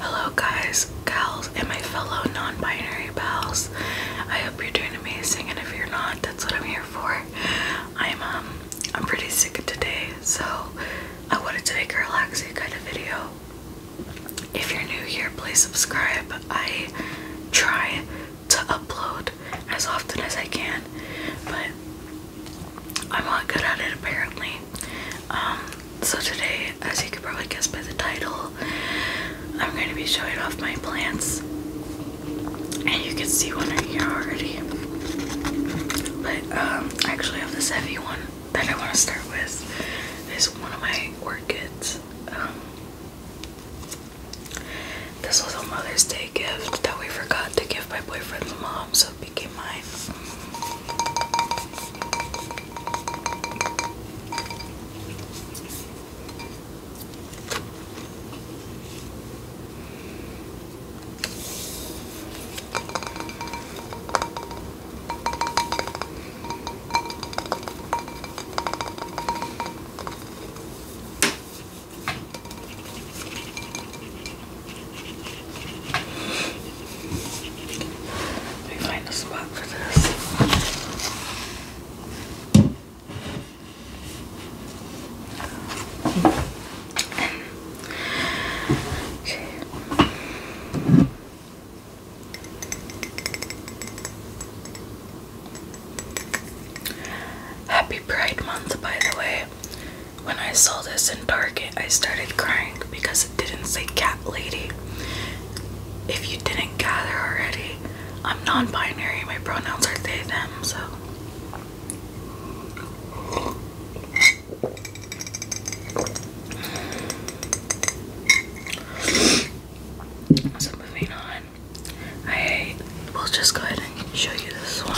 Hello, guys, gals, and my fellow non binary pals. I hope you're doing amazing, and if you're not, that's what I'm here for. I'm, um, I'm pretty sick today, so I wanted to make a relaxing kind of video if you're new here, please subscribe. I try to upload as often as I can, but I'm not good at it apparently. Um, so, today, as you could probably guess by the title, I'm going to be showing off my plants, and you can see one right here already. But um, I actually have this heavy one that I want to start with is one of my orchids. Um, this was a Mother's Day gift that we forgot to give my boyfriend's mom, so it became mine. Let me find a spot for this. Happy Pride Month, by the way. When I saw this in Target, I started crying because it didn't say cat lady. If you didn't gather already, I'm non binary. My pronouns are they, them, so so moving on, I will just go ahead and show you this one.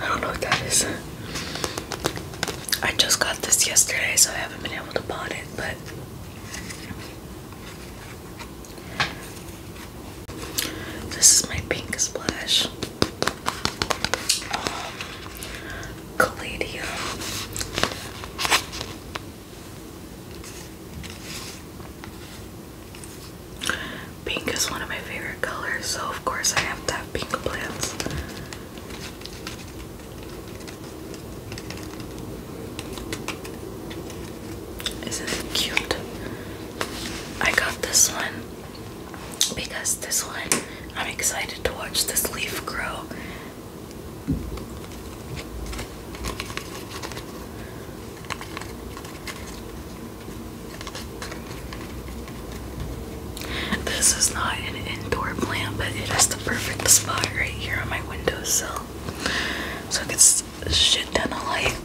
I don't know what that is. I just got this yesterday, so I haven't been able to pot it, but this is my pink splash. Caladium. Pink is one of my favorite colors, so of course I have to have pink plants. Isn't it cute? I got this one because this one I'm excited to watch this leaf grow. This is not an indoor plant, but it is perfect spot right here on my windowsill. So it gets shit ton of light.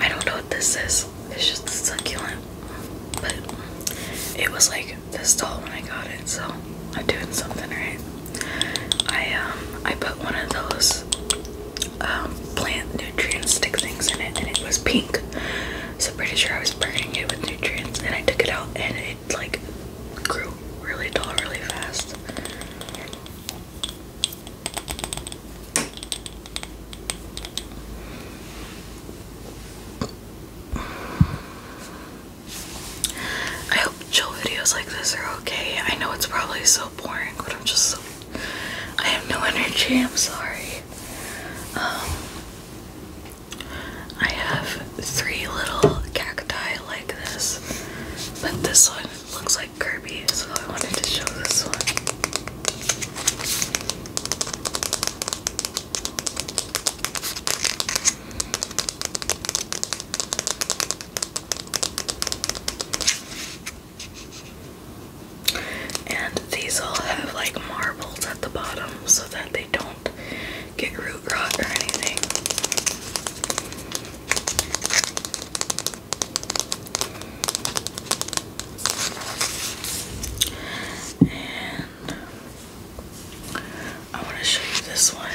I don't know what this is. It's just succulent. But it was like this tall when I got it, so I'm doing something right. I um I put one of those um, plant nutrients, stick things in it, and it was pink. So pretty sure I was burning it with nutrients, and I took it out, and it like grew really tall, really fast. I hope chill videos like this are okay. I know it's probably so boring, but I'm just so I have no energy, I'm sorry. Um, I have three little cacti like this, but this one looks like Kirby, so I wanted to show this one. And these all have like marbles at the bottom so that they don't get root rot or anything. And I want to show you this one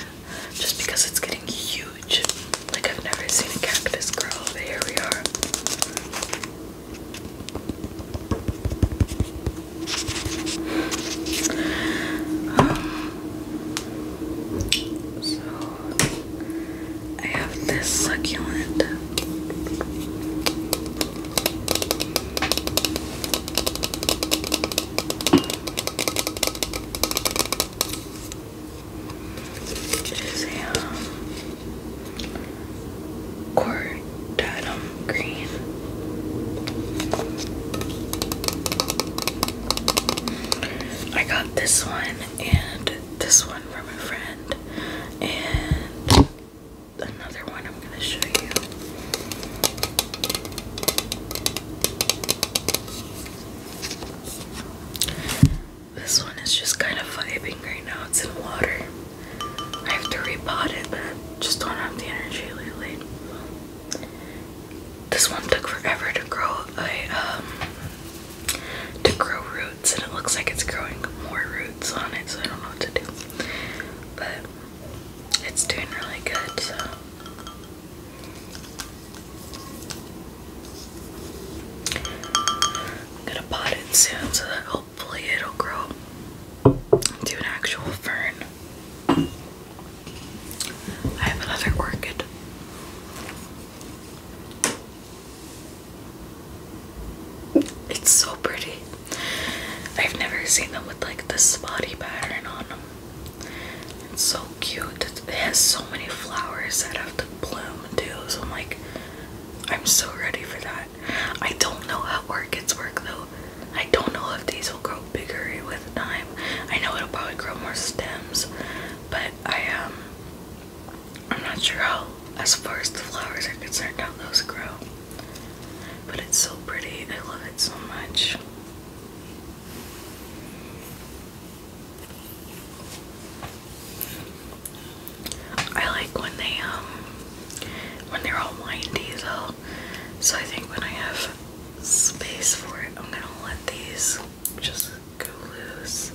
just because it's getting huge. Like I've never seen a cactus grow, but here we are. Um, so I have this succulent which a um, green. I got this one and this one from a friend, and another one I'm going to show you. This one is just kind of vibing right now. It's in water. I have to repot it, but just don't have the energy lately. This one took forever to grow. Um, to grow roots, and it looks like it's growing more roots on it. So I don't know what to do, but it's doing really good. So I'm gonna pot it soon so that hopefully it'll grow into an actual fern. I have another orchid. It's so pretty. I've never seen them with like this spotty pattern on them. It's so cute. It has so many flowers that have to bloom too. So I'm like, I'm so ready for that. I don't know how orchids work though. I don't know if these will grow bigger with time. I know it'll probably grow more stems, but I um I'm not sure how as far as the flowers are concerned how those grow. But it's so pretty. I love it so much. I like when they um, when they're all windy though. So I think when I have space for it, I'm gonna let these just go loose.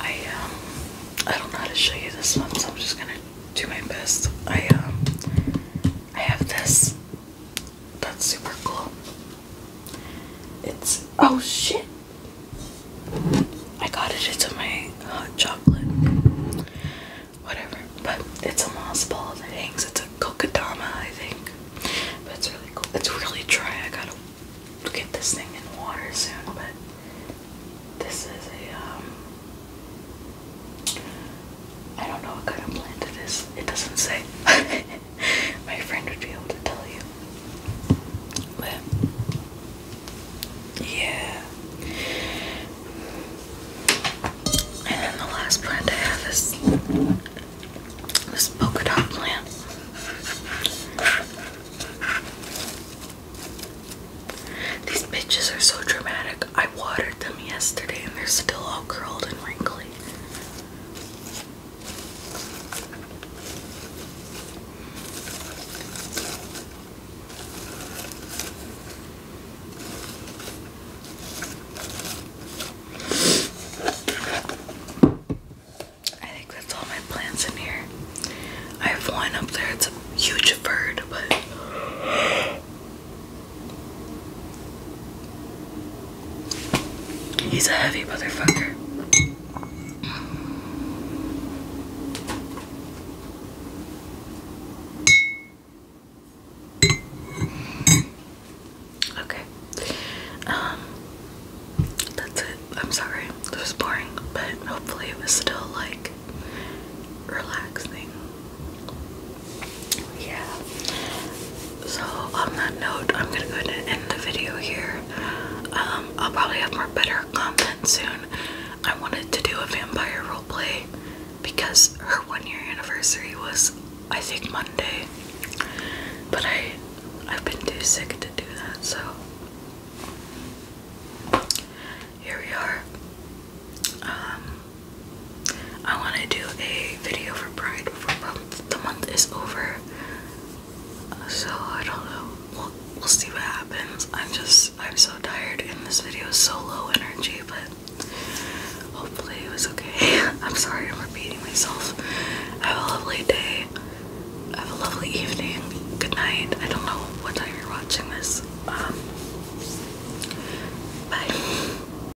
I um I don't know how to show you this one, so I'm just gonna do my best. I um I have this that's super cool. It's oh shit. I got it into my hot chocolate. Whatever. But it's a moss ball that hangs. It's a kokadama, I think. But it's really cool. It's really dry. I gotta get this thing in water soon, but this is a um I don't know what kind of plant it is. It doesn't say. my friend would be able to tell you. yeah. And the last plant I have is this polka dot plant. These bitches are so dramatic. I watered them yesterday and they're still all curled and wrinkly. I think that's all my plants in here. I have one up there, it's a huge bird, but He's a heavy motherfucker. Okay. Um, that's it. I'm sorry. It was boring, but hopefully it was still like relaxing yeah so on that note i'm gonna go ahead and end the video here um, i'll probably have more better content soon i wanted to do a vampire role play because her one year anniversary was i think monday but i i've been too sick to do that so here we are um, I want to do a video for Pride before the month is over. So I don't know. We'll, we'll see what happens. I'm just, I'm so tired and this video is so low energy, but hopefully it was okay. I'm sorry I'm repeating myself. Have a lovely day. Have a lovely evening. Good night. I don't know what time you're watching this. Um, bye.